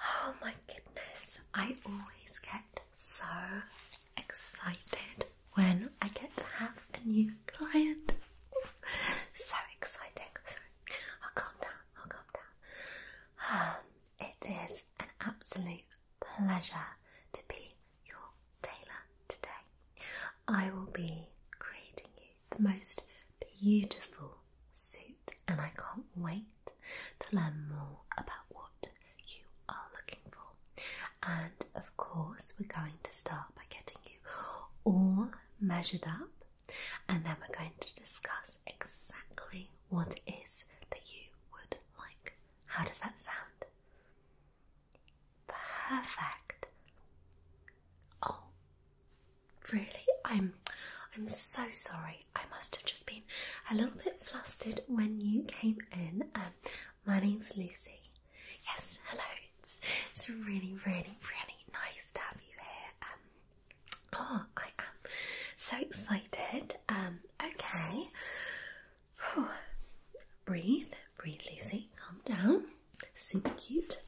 Oh my goodness, I always get so excited when I get to have a new client. so exciting. I'll oh, calm down, I'll oh, calm down. Um, it is an absolute pleasure to be your tailor today. I will be creating you the most beautiful suit, and I can't wait to learn more about what you are looking for. And of course, we're going to start by getting you all measured up, and then we're going to discuss exactly what it is that you would like. How does that sound? Perfect. Oh, Really? I'm I'm so sorry. I must have just been a little bit flustered when you came in. Um, my name's Lucy. Yes, hello. It's, it's really, really, really nice to have you here. Um, oh, I am so excited. Um, okay. Breathe, breathe, Lucy. Calm down. Super cute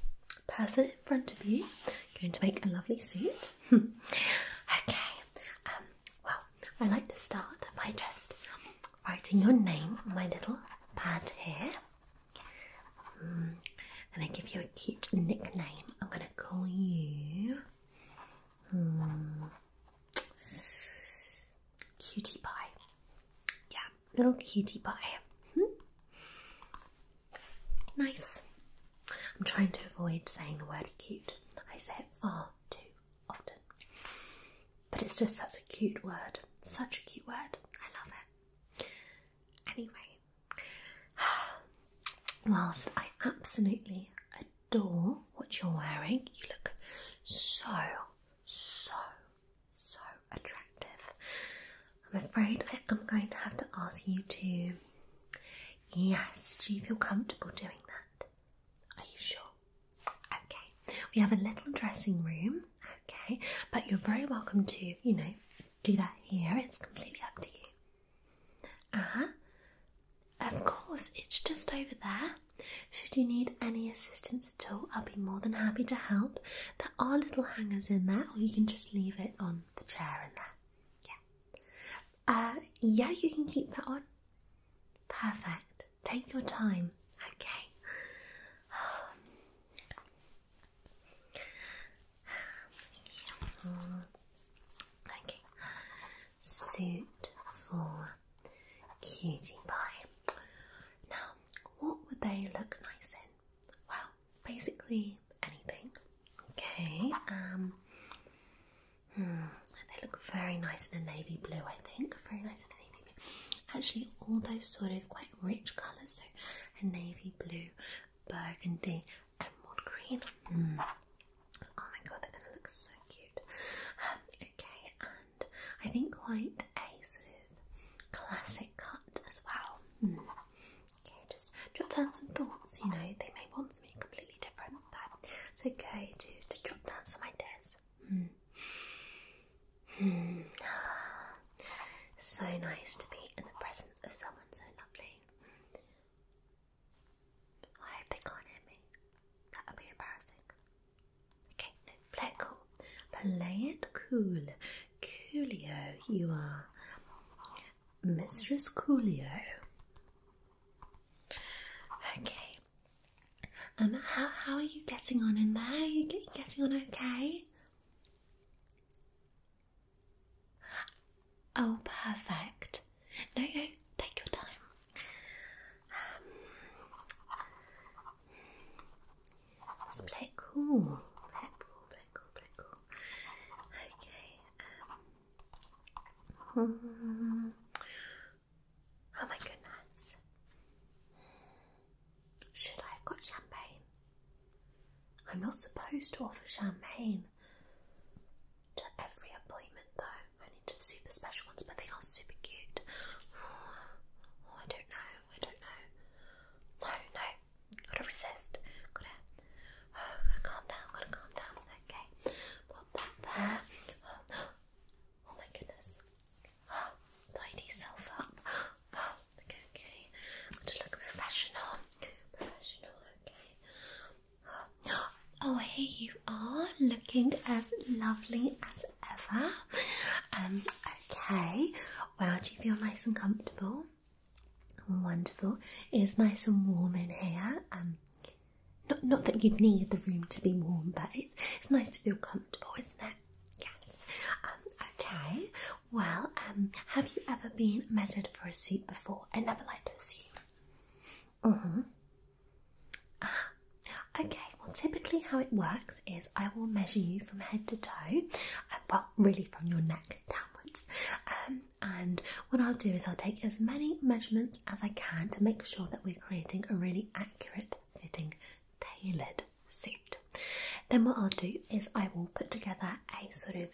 person in front of you. Going to make a lovely suit. okay. Um, well, I like to start by just writing your name on my little pad here. Mm, and I give you a cute nickname. I'm going to call you. Hmm, cutie pie. Yeah, little cutie pie. Hmm? Nice. I'm trying to avoid saying the word cute. I say it far too often. But it's just such a cute word. Such a cute word. I love it. Anyway, whilst I absolutely adore what you're wearing, you look so, so, so attractive. I'm afraid I am going to have to ask you to. Yes, do you feel comfortable doing that? Are you sure? Okay, we have a little dressing room, okay, but you're very welcome to, you know, do that here. It's completely up to you. Uh huh. Of course, it's just over there. Should you need any assistance at all, I'll be more than happy to help. There are little hangers in there, or you can just leave it on the chair in there. Yeah. Uh, yeah, you can keep that on. Perfect. Take your time. Okay. Suit for cutie pie. Now, what would they look nice in? Well, basically anything. Okay. Um. Hmm, they look very nice in a navy blue. I think very nice in a navy blue. Actually, all those sort of quite rich colours. So a navy blue, burgundy, emerald green. Hmm. Oh my god, they're gonna look so cute. Um, okay, and I think quite a sort of classic cut as well. Hmm. Okay, just jot down some thoughts, you know, they may want something completely different, but it's okay to, to jot down some ideas. Hmm. Hmm. So nice to be in the presence of someone so lovely. I hope they can't hear me. That would be embarrassing. Okay, no, play it cool. Play it cool. Coolio, you are. Mistress Coolio. Okay. Um, how how are you getting on in there? Are you getting on okay? Oh, perfect. No, no, take your time. Um, black cool. Black cool, black cool, black cool. Okay. Um, oh my goodness. Should I have got champagne? I'm not supposed to offer champagne to every appointment though, only to super special ones, but they are super cute. I don't know, I don't know. No, no, okay. Gotta resist. Gotta, oh, gotta calm down. Gotta calm down. Okay. Pop that there. Oh, oh my goodness. Oh, tidy self up. Oh, okay, okay. I'm gonna look professional. Professional. Okay. Oh, oh, here you are, looking as lovely as ever. Um. Okay. Well, do you feel nice and comfortable? Wonderful. It's nice and warm in here. Um, not not that you'd need the room to be warm, but it's, it's nice to feel comfortable, isn't it? Yes. Um, okay. Well, um, have you ever been measured for a suit before? I never liked a suit. Mm-hmm. Ah, okay. Well, typically how it works is I will measure you from head to toe, uh, well, really from your neck downwards. Um, and what I'll do is I'll take as many measurements as I can to make sure that we're creating a really accurate fitting, tailored suit. Then what I'll do is I will put together a sort of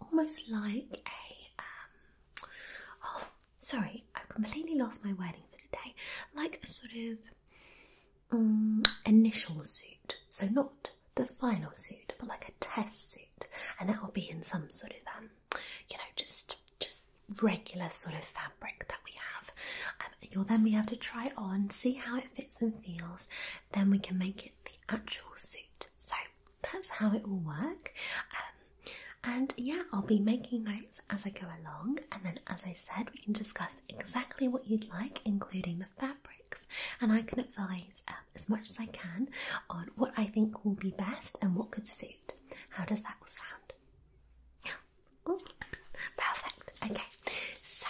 almost like a um, oh sorry I've completely lost my wording for today like a sort of Mm, initial suit, so not the final suit, but like a test suit, and that will be in some sort of um, you know, just just regular sort of fabric that we have. Um, you'll then be able to try it on, see how it fits and feels, then we can make it the actual suit. So that's how it will work. Um, and yeah, I'll be making notes as I go along, and then as I said, we can discuss exactly what you'd like, including the fabrics and I can advise um, as much as I can on what I think will be best and what could suit. How does that sound? perfect. Okay. So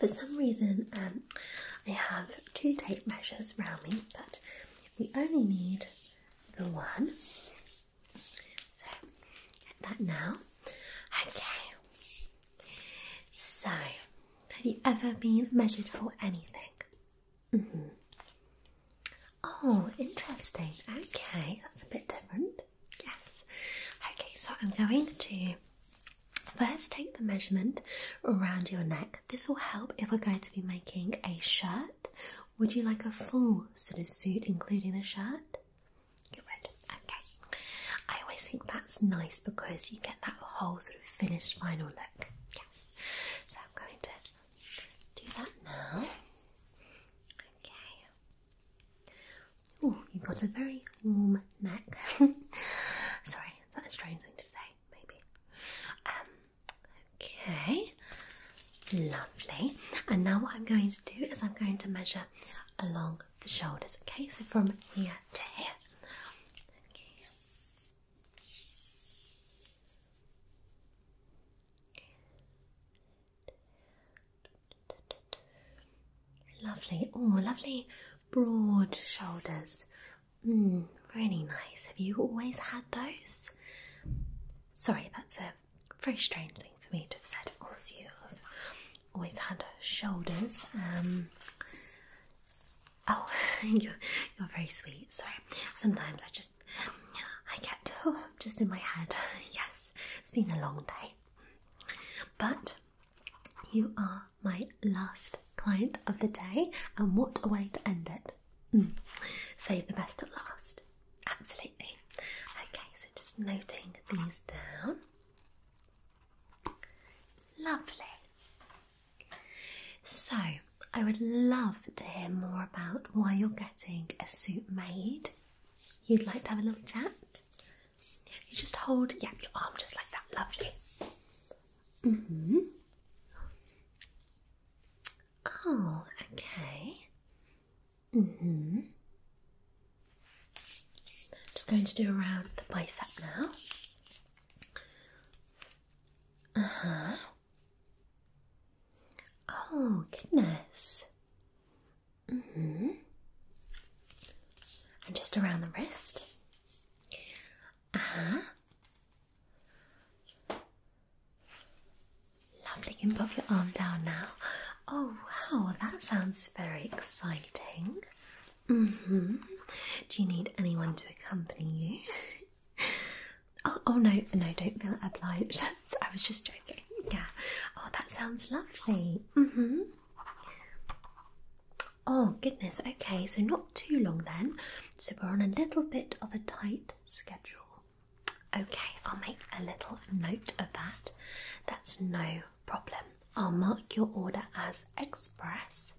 for some reason um, I have two tape measures around me but we only need the one. So get that now. Okay. So, have you ever been measured for anything? Mm -hmm. Oh, interesting. Okay, that's a bit different. Yes. Okay, so I'm going to first take the measurement around your neck. This will help if we're going to be making a shirt. Would you like a full sort of suit, including the shirt? Okay. I always think that's nice because you get that whole sort of finished final look. Yes. So I'm going to do that now. Okay. Oh, you've got a very warm neck. Sorry, is that a strange thing to say? Maybe. Um. Okay. Lovely. And now what I'm going to do is I'm going to measure along the shoulders. Okay, so from here to here. Lovely, oh, lovely broad shoulders. Hmm, really nice. Have you always had those? Sorry, that's a very strange thing for me to have said. Of course, you have always had shoulders. Um, oh, you're, very sweet. Sorry. Sometimes I just, I get just in my head. Yes, it's been a long day. But you are my last client of the day, and what a way to end it! Mm. Save the best at last. Absolutely. Okay, so just noting these down. Lovely. So, I would love to hear more about why you're getting a suit made. You'd like to have a little chat? You just hold, yeah, your arm just like that. Lovely. hmm. Oh, okay. Mm hmm. Just going to do around the bicep now. Uh huh. Oh, goodness. Mm hmm. And just around the wrist. Uh huh. Lovely. can pop your arm down now. Oh wow, that sounds very exciting. Mm-hmm. Do you need anyone to accompany you? Oh, oh, no, no, don't feel obliged. I was just joking. Yeah. Oh, that sounds lovely. hmm Oh goodness, okay, so not too long then. So we're on a little bit of a tight schedule. Okay, I'll make a little note of that. That's no problem. I'll mark your order as express.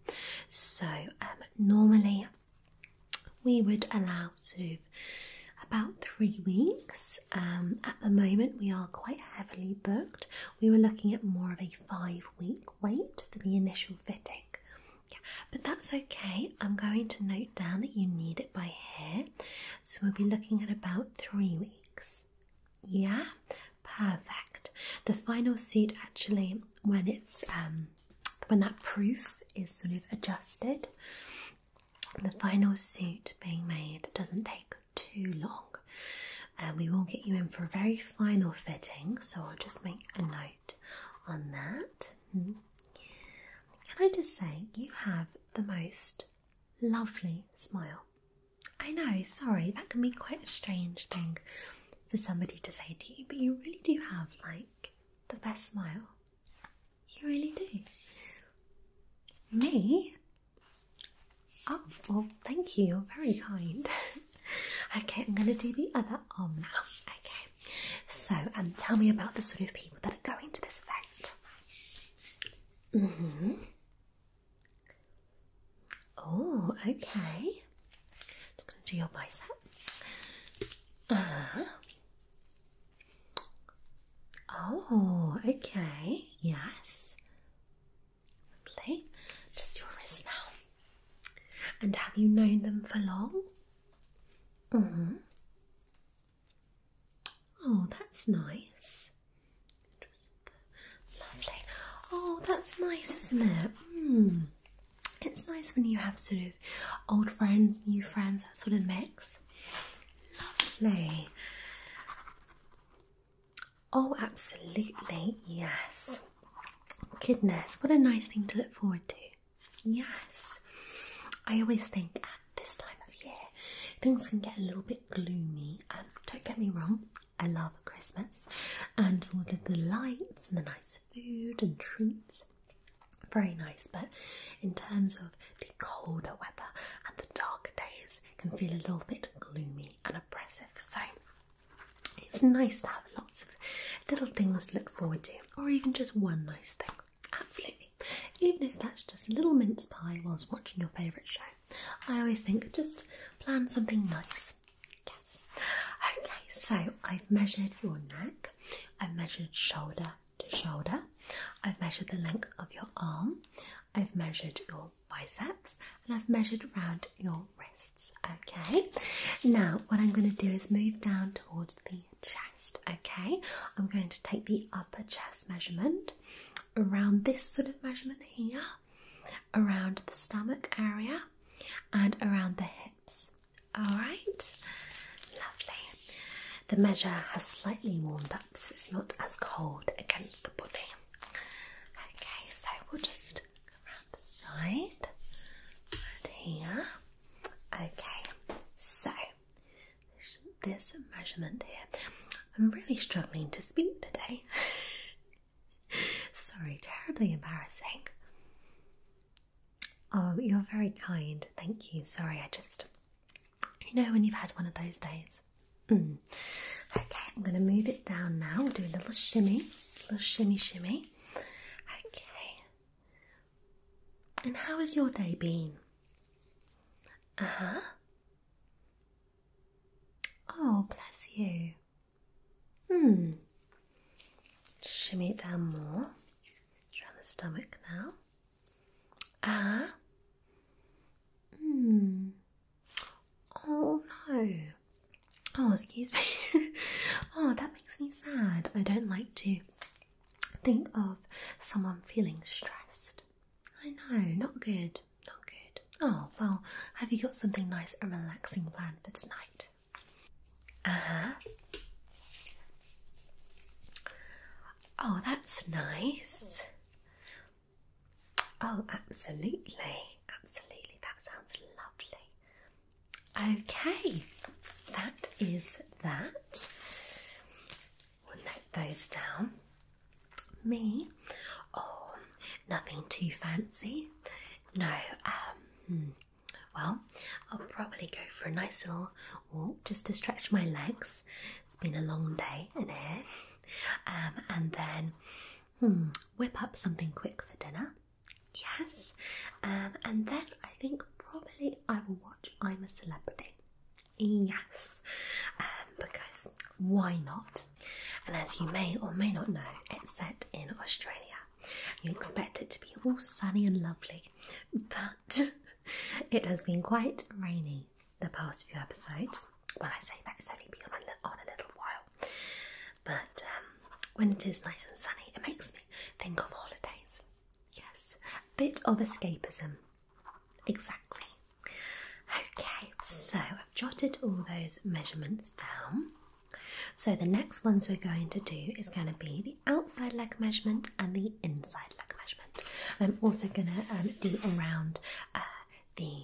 So, um, normally we would allow to about three weeks. Um, at the moment, we are quite heavily booked. We were looking at more of a five week wait for the initial fitting. but that's okay. I'm going to note down that you need it by here, so we'll be looking at about three weeks. Yeah, perfect. The final suit actually, when it's um, when that proof is sort of adjusted, the final suit being made doesn't take too long. Uh, we will get you in for a very final fitting, so I'll just make a note on that. Hmm. Can I just say, you have the most lovely smile. I know, sorry, that can be quite a strange thing for somebody to say to you, but you really do have like the best smile. You really do. Me? Oh, thank you, you're very kind. okay, I'm going to do the other arm now. Okay, so um, tell me about the sort of people that are going to this event. Mm-hmm. Oh, okay. Just gonna do your bicep. Uh Oh, okay. Yes. Lovely. Just your wrist now. And have you known them for long? hmm. Oh, that's nice. Lovely. Oh, that's nice, isn't it? Mm. It's nice when you have sort of old friends, new friends, that sort of mix. Lovely. Oh, absolutely, yes. Goodness, what a nice thing to look forward to. Yes. I always think this time of year, things can get a little bit gloomy. Um, don't get me wrong, I love Christmas and all of the lights and the nice food and treats. Very nice, but in terms of the colder weather and the darker days, can feel a little bit gloomy and oppressive. So it's nice to have lots of little things to look forward to, or even just one nice thing. Absolutely even if that's just a little mince pie whilst watching your favourite show. I always think just plan something nice. Yes. Okay, so I've measured your neck, I've measured shoulder to shoulder, I've measured the length of your arm, I've measured your biceps, and I've measured around your wrists. Okay, now what I'm going to do is move down towards the chest. Okay, I'm going to take the upper chest measurement around this sort of measurement here, around the stomach area, and around the hips. All right, lovely. The measure has slightly warmed up, so it's not as cold against the body. Okay, so we'll just go around the side here. Okay, so this measurement here. I'm really struggling to speak today. Sorry, terribly embarrassing. Oh, you're very kind. Thank you. Sorry, I just. You know, when you've had one of those days. Mm. Okay, I'm going to move it down now. We'll do a little shimmy, little shimmy, shimmy. Okay, and how has your day been? Uh Oh, bless you. Hmm. Shimmy it down more. Around the stomach now. Ah. hmm. Oh no. Oh, excuse me. oh, that makes me sad. I don't like to Think of someone feeling stressed. I know, not good, not good. Oh, well, have you got something nice a relaxing plan for tonight? Uh huh. Oh, that's nice. Oh, absolutely, absolutely. That sounds lovely. Okay, that is that. We'll note those down. Me, oh, nothing too fancy. No, um, hmm, well, I'll probably go for a nice little walk just to stretch my legs. It's been a long day in here. Um, and then hmm, whip up something quick for dinner. Yes. Um, and then I think probably I will watch I'm a Celebrity. Yes, um, because why not? And as you may or may not know, it's set in Australia. You expect it to be all sunny and lovely, but it has been quite rainy the past few episodes. Well, I say that it's only been on a, little while, but um, when it is nice and sunny, it makes me think of holidays. Yes, a bit of escapism Exactly. Okay, so I've jotted all those measurements down. So the next ones we're going to do is going to be the outside leg measurement and the inside leg measurement. I'm also going to um, do around uh, the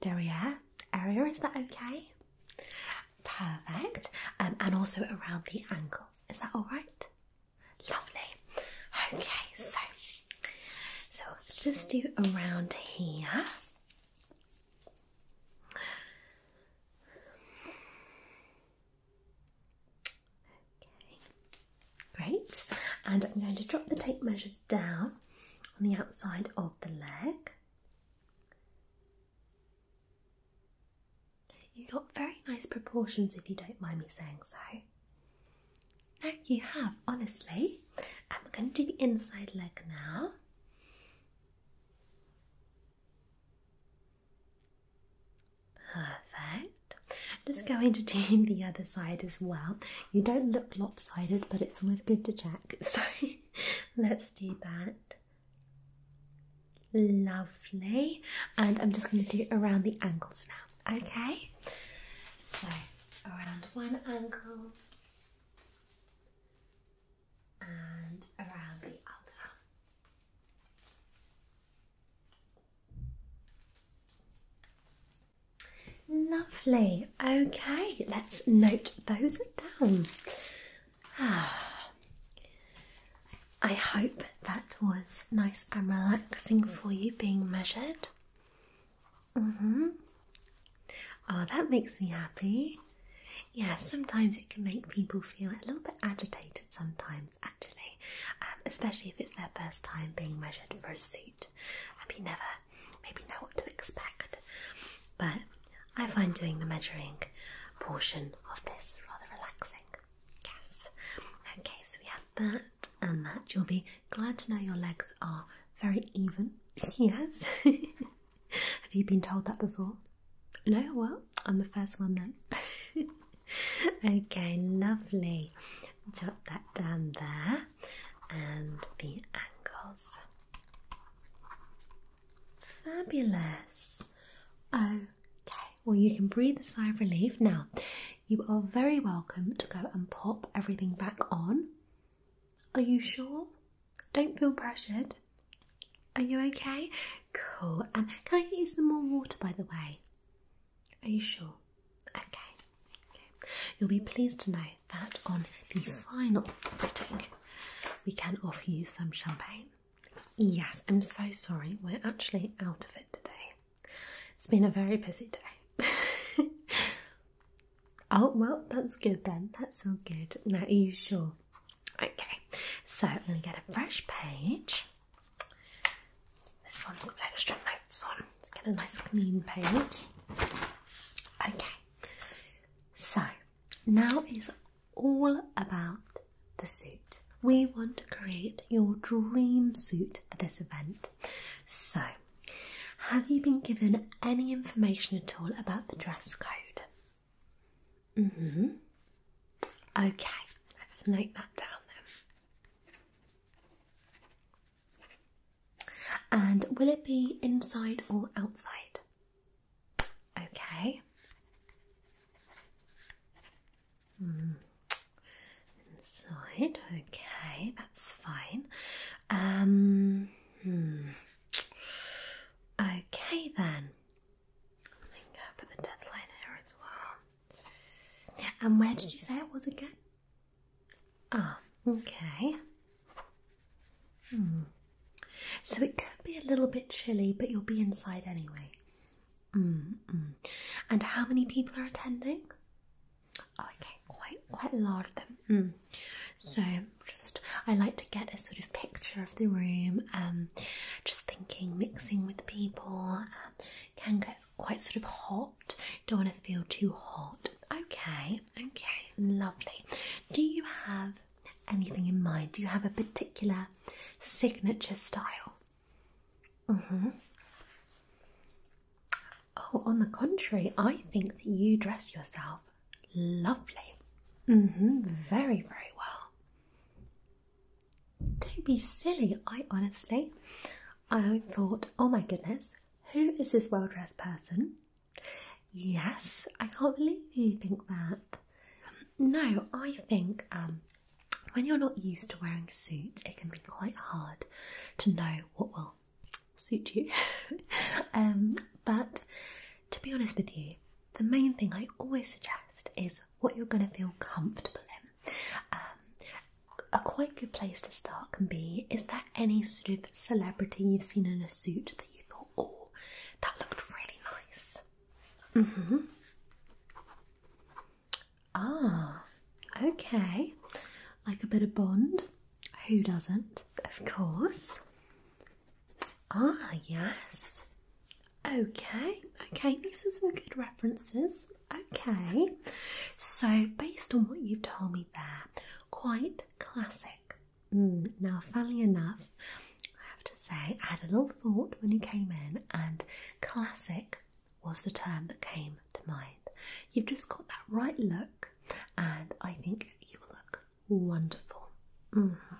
derriere area. Is that okay? Perfect. Um, and also around the ankle. Is that all right? Lovely. Okay, so so let's just do around here. Okay, great. And I'm going to drop the tape measure down on the outside of the leg. You've got very nice proportions, if you don't mind me saying so. No, you have, honestly. I'm going to do the inside leg now. Perfect. I'm just going to do the other side as well. You don't look lopsided, but it's always good to check. So let's do that. Lovely. And I'm just going to do around the ankles now. Okay. So around one ankle and around the other. Lovely. Okay, let's note those down. Ah. I hope that was nice and relaxing for you being measured. Mm-hmm. Oh, that makes me happy. Yeah, sometimes it can make people feel a little bit agitated sometimes, actually, um, especially if it's their first time being measured for a suit. Um, you never maybe know what to expect. But I find doing the measuring portion of this rather relaxing. Yes. Okay, so we have that and that. You'll be glad to know your legs are very even. Yes. have you been told that before? No? Well, I'm the first one then. okay, lovely. Drop that down there. And the ankles. Fabulous. Oh, Okay, well, you can breathe a sigh of relief. Now, you are very welcome to go and pop everything back on. Are you sure? Don't feel pressured. Are you okay? Cool. And um, can I get you some more water, by the way? Are you sure? okay. You'll be pleased to know that on the final fitting, we can offer you some champagne. Yes, I'm so sorry. We're actually out of it today. It's been a very busy day. oh, well, that's good then. That's all good. Now, are you sure? Okay, so we get a fresh page. This one's got extra notes on. Let's get a nice clean page. Okay, so now is all about the suit. We want to create your dream suit for this event. So, have you been given any information at all about the dress code? hmm. Okay, let's note that down then. And will it be inside or outside? Okay. Inside, okay, that's fine. Um, hmm. Okay then. I think I put the deadline here as well. And where did you say it was again? Ah, okay. Hmm. So it could be a little bit chilly, but you'll be inside anyway. Mm, mm And how many people are attending? Oh, okay, quite quite a lot of them. Mm. So just I like to get a sort of picture of the room. Um, just thinking, mixing with people um, can get quite sort of hot. Don't want to feel too hot. Okay, okay, lovely. Do you have anything in mind? Do you have a particular signature style? Mm-hmm. Oh, on the contrary, I think that you dress yourself lovely. Mm-hmm. Very, very well. Don't be silly. I honestly, I thought, oh my goodness, who is this well-dressed person? Yes, I can't believe you think that. No, I think um, when you're not used to wearing suits, it can be quite hard to know what will suit you. Um, but to be honest with you, the main thing I always suggest is what you're going to feel comfortable in. Um, a quite good place to start can be is there any sort of celebrity you've seen in a suit that you thought, oh, that looked really nice? Mm-hmm. Ah, okay. Like a bit of Bond. Who doesn't? Of course. Ah, yes. Okay, okay, This is some good references. Okay, so based on what you've told me there, quite classic. Mm, now, funnily enough, I have to say, I had a little thought when you came in, and classic was the term that came to mind. You've just got that right look, and I think you will look wonderful. Mm-hmm.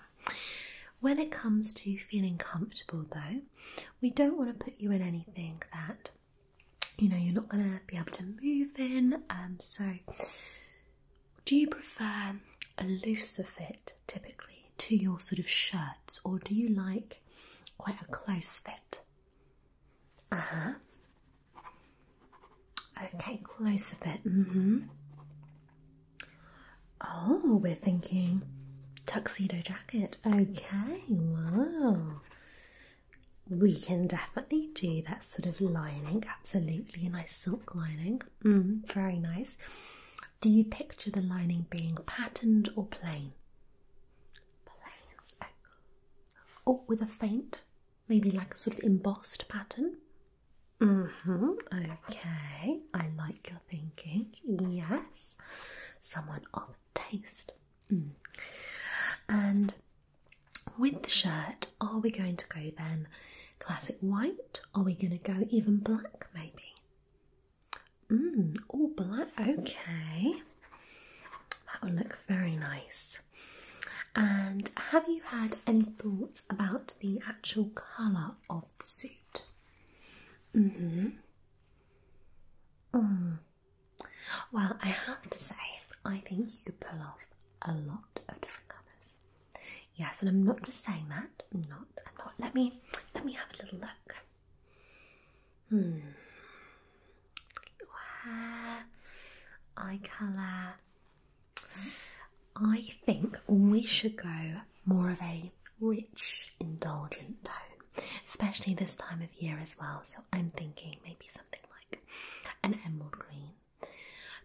When it comes to feeling comfortable, though, we don't want to put you in anything that you know you're not going to be able to move in. Um, so do you prefer a looser fit typically to your sort of shirts, or do you like quite a close fit? Uh huh. Okay, close fit. Mm-hmm. Oh, we're thinking tuxedo jacket. Okay, wow. We can definitely do that sort of lining, absolutely. A nice silk lining. Mm, very nice. Do you picture the lining being patterned or plain? Plain. Or oh, with a faint, maybe like a sort of embossed pattern? hmm Okay. I like your thinking. Yes. Someone of taste. Mm. And with the shirt, are we going to go then Classic white? Are we going to go even black maybe? Mmm, all black, okay. That'll look very nice. And have you had any thoughts about the actual colour of the suit? Mm-hmm. Mm. Well, I have to say, I think you could pull off a lot of different colours. Yes, and I'm not just saying that. I'm not. I'm not. Let me. Let me have a little look. Hmm. Hair, eye colour. I think we should go more of a rich, indulgent tone, especially this time of year as well. So I'm thinking maybe something like an emerald green,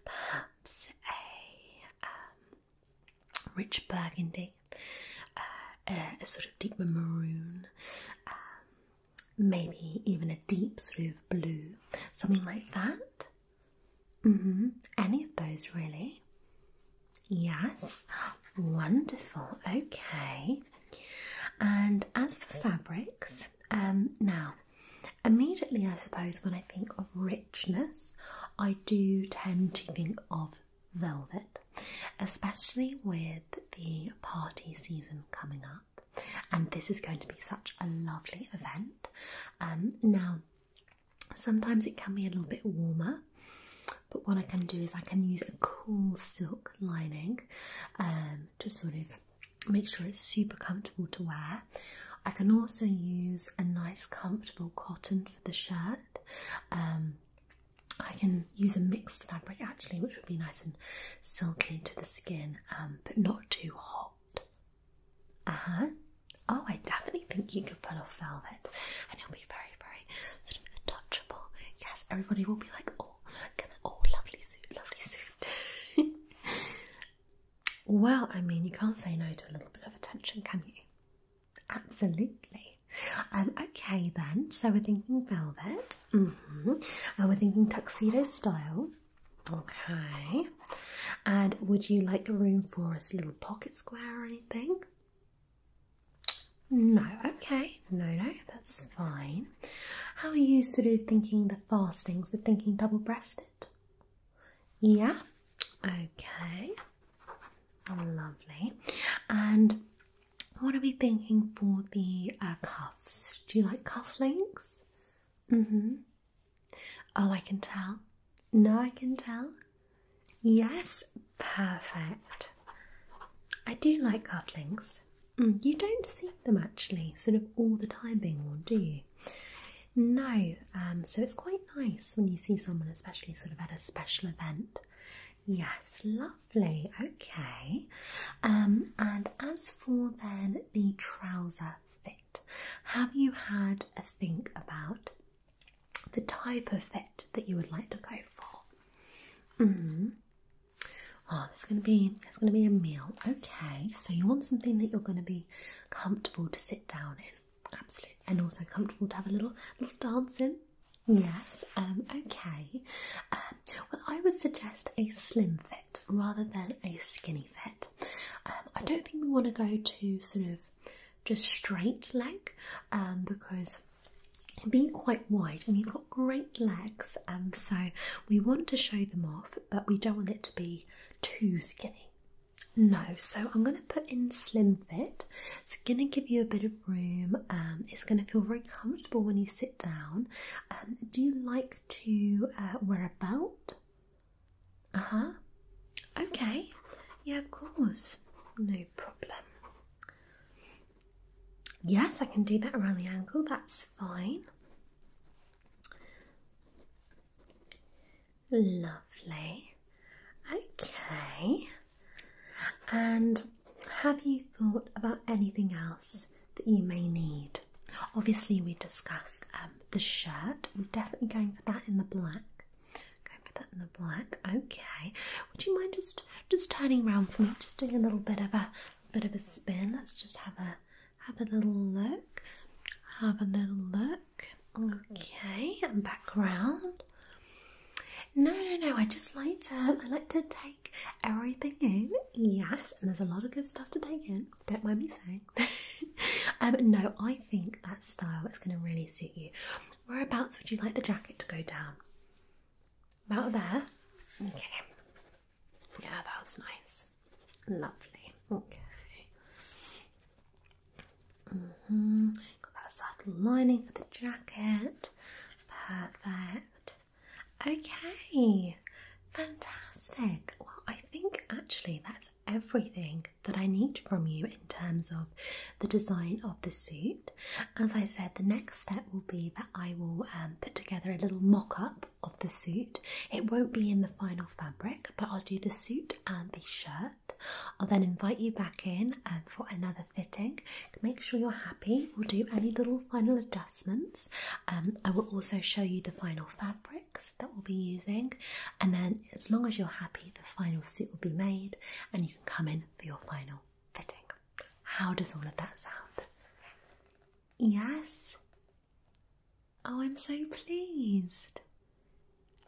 perhaps a um, rich burgundy, uh, a, sort of deep maroon, um, maybe even a deep sort of blue, something like that. Mm-hmm. Any of those, really? Yes, wonderful. Okay, and as for fabrics, um, now Immediately, I suppose, when I think of richness, I do tend to think of velvet, especially with the party season coming up. And this is going to be such a lovely event. Um, now, sometimes it can be a little bit warmer, but what I can do is I can use a cool silk lining um, to sort of make sure it's super comfortable to wear I can also use a nice comfortable cotton for the shirt. Um, I can use a mixed fabric actually, which would be nice and silky to the skin, um, but not too hot. Uh huh. Oh, I definitely think you can pull off velvet, and it'll be very, very sort of touchable. Yes, everybody will be like, "Oh, look at Oh, lovely suit, lovely suit." Well, I mean, you can't say no to a little bit of attention, can you? Absolutely. Um, okay, then. So we're thinking velvet. hmm. And we're thinking tuxedo style. Okay. And would you like room for a little pocket square or anything? No, okay, no, no, that's fine. How are you sort of thinking the fastings? We're thinking double breasted? Yeah, okay, lovely. And what are we thinking for the uh, cuffs? Do you like cufflinks? Mm hmm. Oh, I can tell. No, I can tell. Yes, perfect. I do like cufflinks. Mm, you don't see them actually, sort of all the time being worn, do you? No, um, so it's quite nice when you see someone, especially sort of at a special event. Yes, lovely. Okay. Um, and as for then the trouser fit, have you had a think about the type of fit that you would like to go for? Mm-hmm. Oh, there's gonna be there's gonna be a meal. Okay, so you want something that you're gonna be comfortable to sit down in. Absolutely. And also comfortable to have a little little dance in. Yes, um, okay. Um, well, I would suggest a slim fit rather than a skinny fit. Um, I don't think we want to go to sort of just straight leg because being quite wide and you've got great legs and so we want to show them off but we don't want it to be too skinny no, so I'm going to put in Slim Fit. It's going to give you a bit of room. Um, it's going to feel very comfortable when you sit down. Um, do you like to uh, wear a belt? Uh huh. Okay. Yeah, of course. No problem. Yes, I can do that around the ankle. That's fine. Lovely. Okay. And have you thought about anything else that you may need? Obviously, we discussed um, the shirt. We're definitely going for that in the black. Going for that in the black. Okay. Would you mind just just turning around for me? Just doing a little bit of a bit of a spin. Let's just have a have a little look. Have a little look. Mm-hmm. Okay, background. No, no, no. I just like to. I like to take everything in. Yes, and there's a lot of good stuff to take in. Don't mind me saying. um, no, I think that style is going to really suit you. Whereabouts would you like the jacket to go down? About there. Mm-hmm. Okay. Yeah, that was nice. Lovely. Okay. -hmm. Got that subtle lining for the jacket. Perfect. Okay. Fantastic. Well, I think actually that's everything that I need from you in terms of the design of the suit. As I said, the next step will be that I will um, put together a little mock up of the suit. It won't be in the final fabric, but I'll do the suit and the shirt. I'll then invite you back in um, for another fitting. Make sure you're happy. We'll do any little final adjustments. Um, I will also show you the final fabrics that we'll be using, and then as long as you're happy, the final suit will be made and you can come in for your final fitting. How does all of that sound? Yes, Oh, I'm so pleased.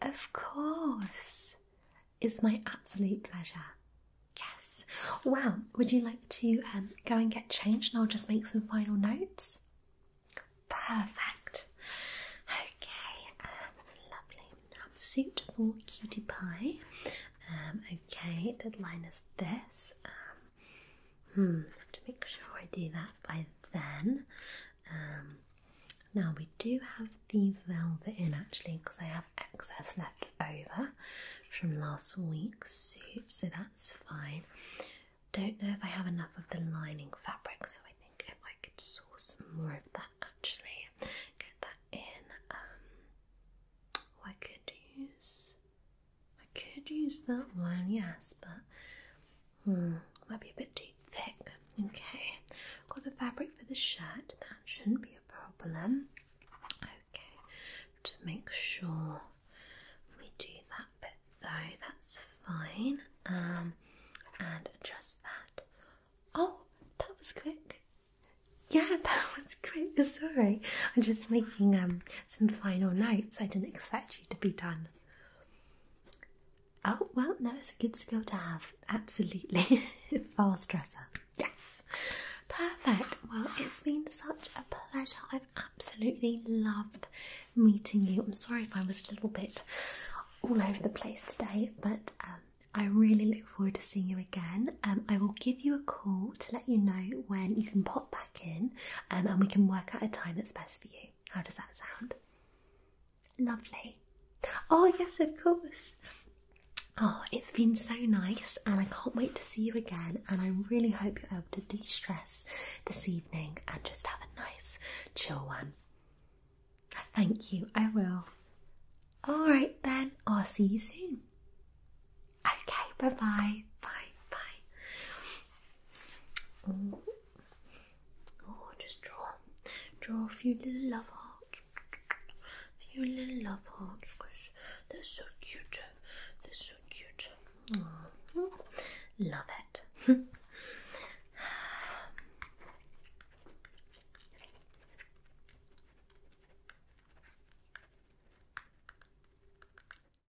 Of course. It's my absolute pleasure. Yes. Well, would you like to um, go and get changed and I'll just make some final notes? Perfect. Okay, um, lovely. suit for cutie pie. Um, okay, deadline is this. Um, Hmm, to make sure I do that by then. Um, now we do have the velvet in actually because I have excess left over from last week's suit, so that's fine. Don't know if I have enough of the lining fabric, so I think if I could source more of that actually, get that in. Um, I could use I could use that one, yes, but hmm, might be a bit too thick. Okay, got the fabric for the shirt. That shouldn't be a problem. Okay, to make sure we do that bit though. That's fine. Um, and adjust that. Oh, that was quick. Yeah, that was quick. Sorry, I'm just making um, some final notes. I didn't expect you to be done Oh, well, no, it's a good skill to have. Absolutely. Fast dresser. Yes. Perfect. Well, it's been such a pleasure. I've absolutely loved meeting you. I'm sorry if I was a little bit all over the place today, but um, I really look forward to seeing you again. Um, I will give you a call to let you know when you can pop back in um, and we can work out a time that's best you. How does that sound? Lovely. Oh, yes, of course. Oh, it's been so nice, and I can't wait to see you again. And I really hope you're able to de stress this evening and just have a nice, chill one. Thank you, I will. All right, then, I'll see you soon. Okay, bye bye. Bye bye. Oh, just draw, draw a few little love hearts, a few little love hearts, they're so cute. They're so cute. Mm. Love it.